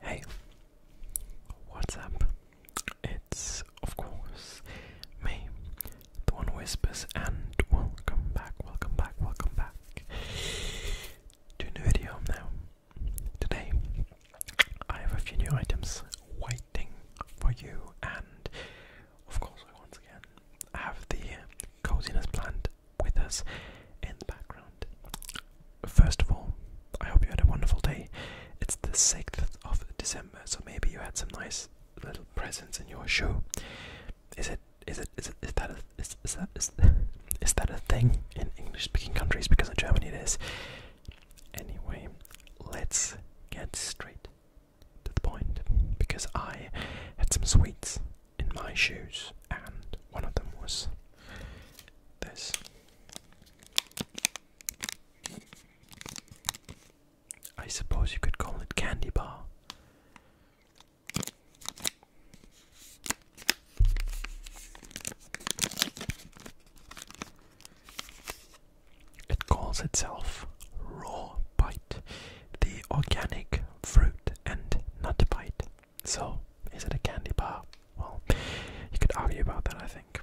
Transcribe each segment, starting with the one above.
Hey, what's It's, of course, me, the one whispers, and welcome back, welcome back, welcome back to a new video now. Today, I have a few new items waiting for you, and of course, we once again have the coziness plant with us in the background. First of all, I hope you had a wonderful day. It's the 6th of December, so maybe you had some nice little presents in your shoe. Is it is it is it is that a, is, is that is, is that a thing in English speaking countries because in Germany it is. Anyway, let's get straight to the point because I had some sweets in my shoes, and one of them was this. I suppose you could call it candy bar. It calls itself Raw Bite, the organic fruit and nut bite. So, is it a candy bar? Well, you could argue about that, I think.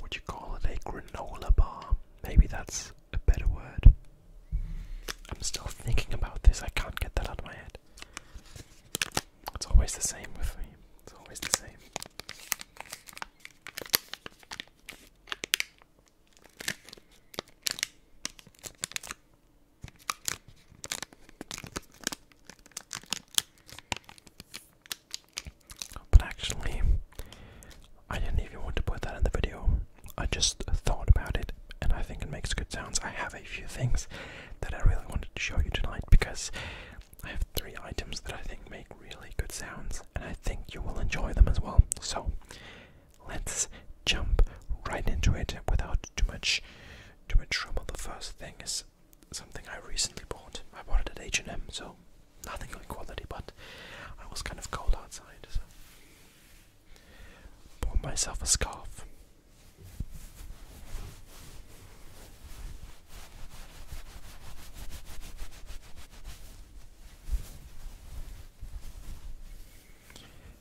Would you call it a granola bar? Maybe that's a better word. I'm still thinking about this, I can't get that out of my head. It's always the same with me. It's always the same. But actually, I didn't even want to put that in the video. I just thought about it and I think it makes good sounds. I have a few things that I really wanted to show you tonight because I have three items that I think make really good sounds and I think you will enjoy them as well. So let's jump right into it without too much too much trouble. The first thing is something I recently bought. I bought it at H&M, so nothing on quality, but I was kind of cold outside, Bought myself a scarf.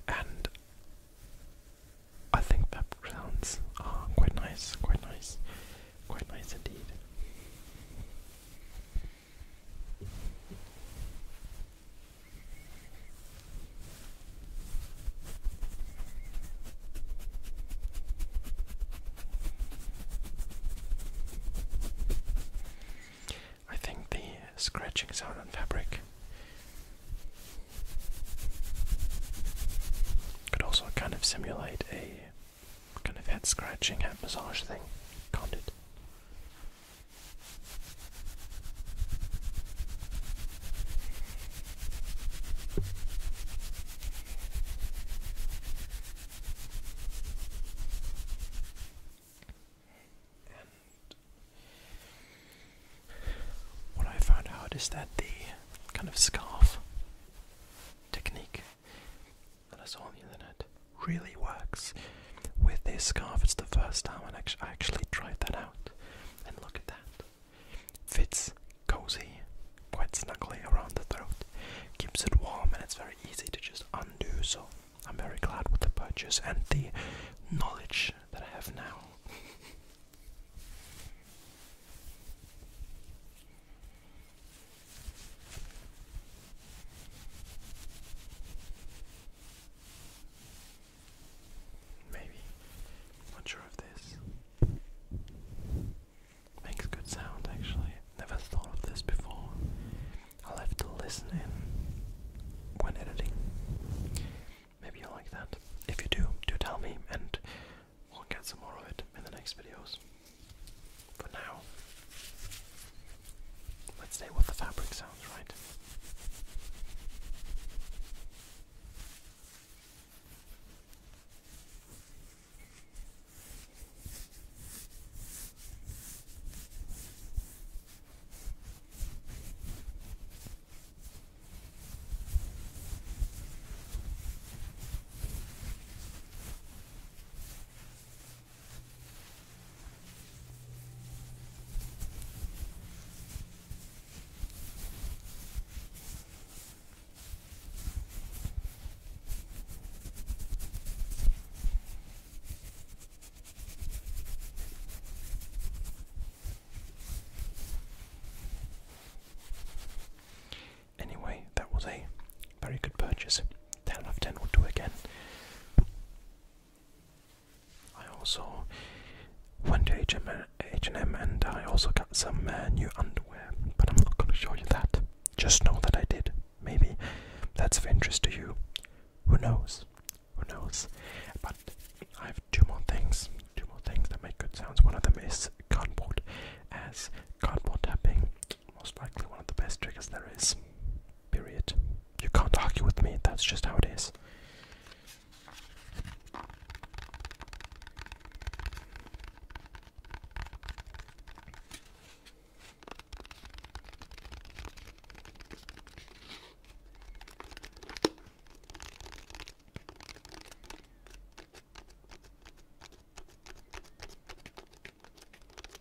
And I think that sounds ah, quite nice, quite nice, quite nice indeed. I think the scratching sound on fabric could also kind of simulate a kind of head scratching, head massage thing, can't what I found out is that the kind of scarf technique that I saw on the internet really works with this scarf. It's the first time I actually, tried that out. And look at that. Fits cozy, quite snugly around the throat. Keeps it warm and it's very easy to just undo. So I'm very glad with the purchase and the knowledge that I have now. Maybe. Not sure of this. Makes good sound actually. Never thought of this before. I'll have to listen in when editing. Maybe you like that. If you do, do tell me and we'll get some more of it in the next videos. For now, Let's say what the fabric sounds like. Anyway, that was a very good purchase. 10 out of 10 will do again. I also went to H&M, and I also got some uh, new underwear, but I'm not going to show you that. Just know that I did. Maybe that's of interest to you. Who knows? Who knows? But I have two more things. Two more things that make good sounds. One of them is cardboard, as cardboard tapping, most likely one of the best triggers there is. Period. You can't argue with me, that's just how it is.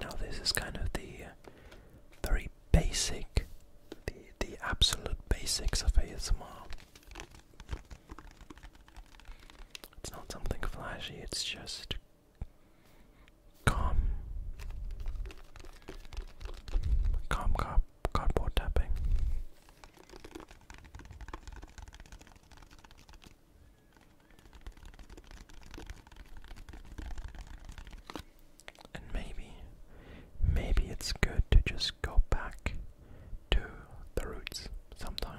Now this is kind of the uh, very basic, the the absolute basics of ASMR. It's not something flashy, it's just Calm. Calm card cardboard tapping. And maybe, maybe it's good to just go back to the roots sometimes.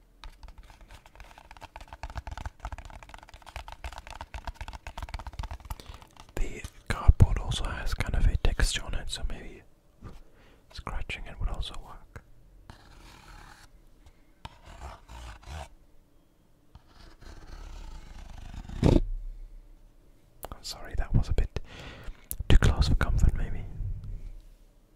The cardboard also has kind of a texture on it, so maybe scratching it would also work. sorry, that was a bit too close for comfort, maybe.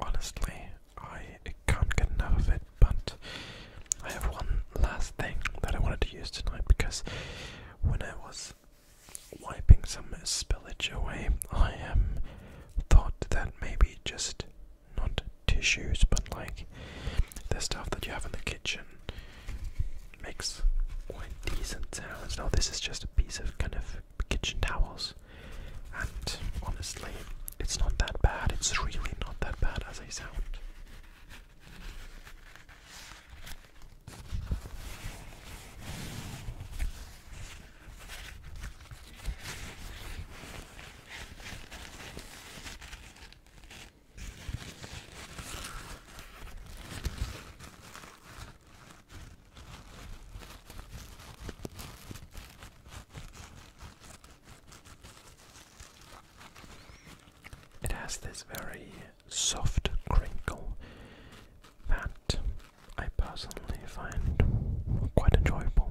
Honestly, I can't get enough of it, but I have one last thing that I wanted to use tonight because when I was wiping some spillage away. I am um, thought that maybe just not tissues, but like the stuff that you have in the kitchen makes quite decent sounds. Now, this is just a piece of kind of kitchen towels, and honestly, it's not that bad. It's really not that bad as I sound. It has this very soft crinkle that I personally find quite enjoyable.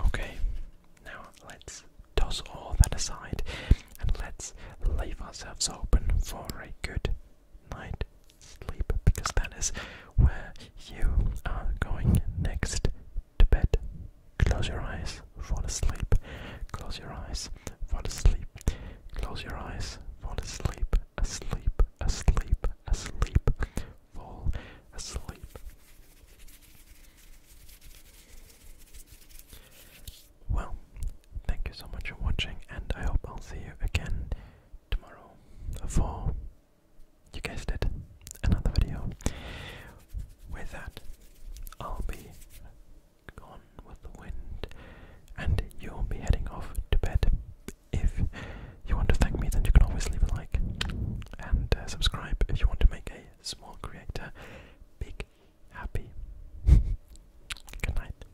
Okay, now let's toss all that aside and let's leave ourselves open for a good night's sleep because that is where you are going next to bed. Close your eyes, fall asleep. Close your eyes, fall asleep. Close your eyes, fall asleep. Asleep, asleep, asleep. Fall asleep. Well, thank you so much for watching, and I hope I'll see you again tomorrow for, you guessed it, another video. With that, I'll be gone with the wind, and you'll be heading off to bed. If you want to thank me, then you can always leave a like and uh, subscribe if you want to make a small creator big happy. Good night.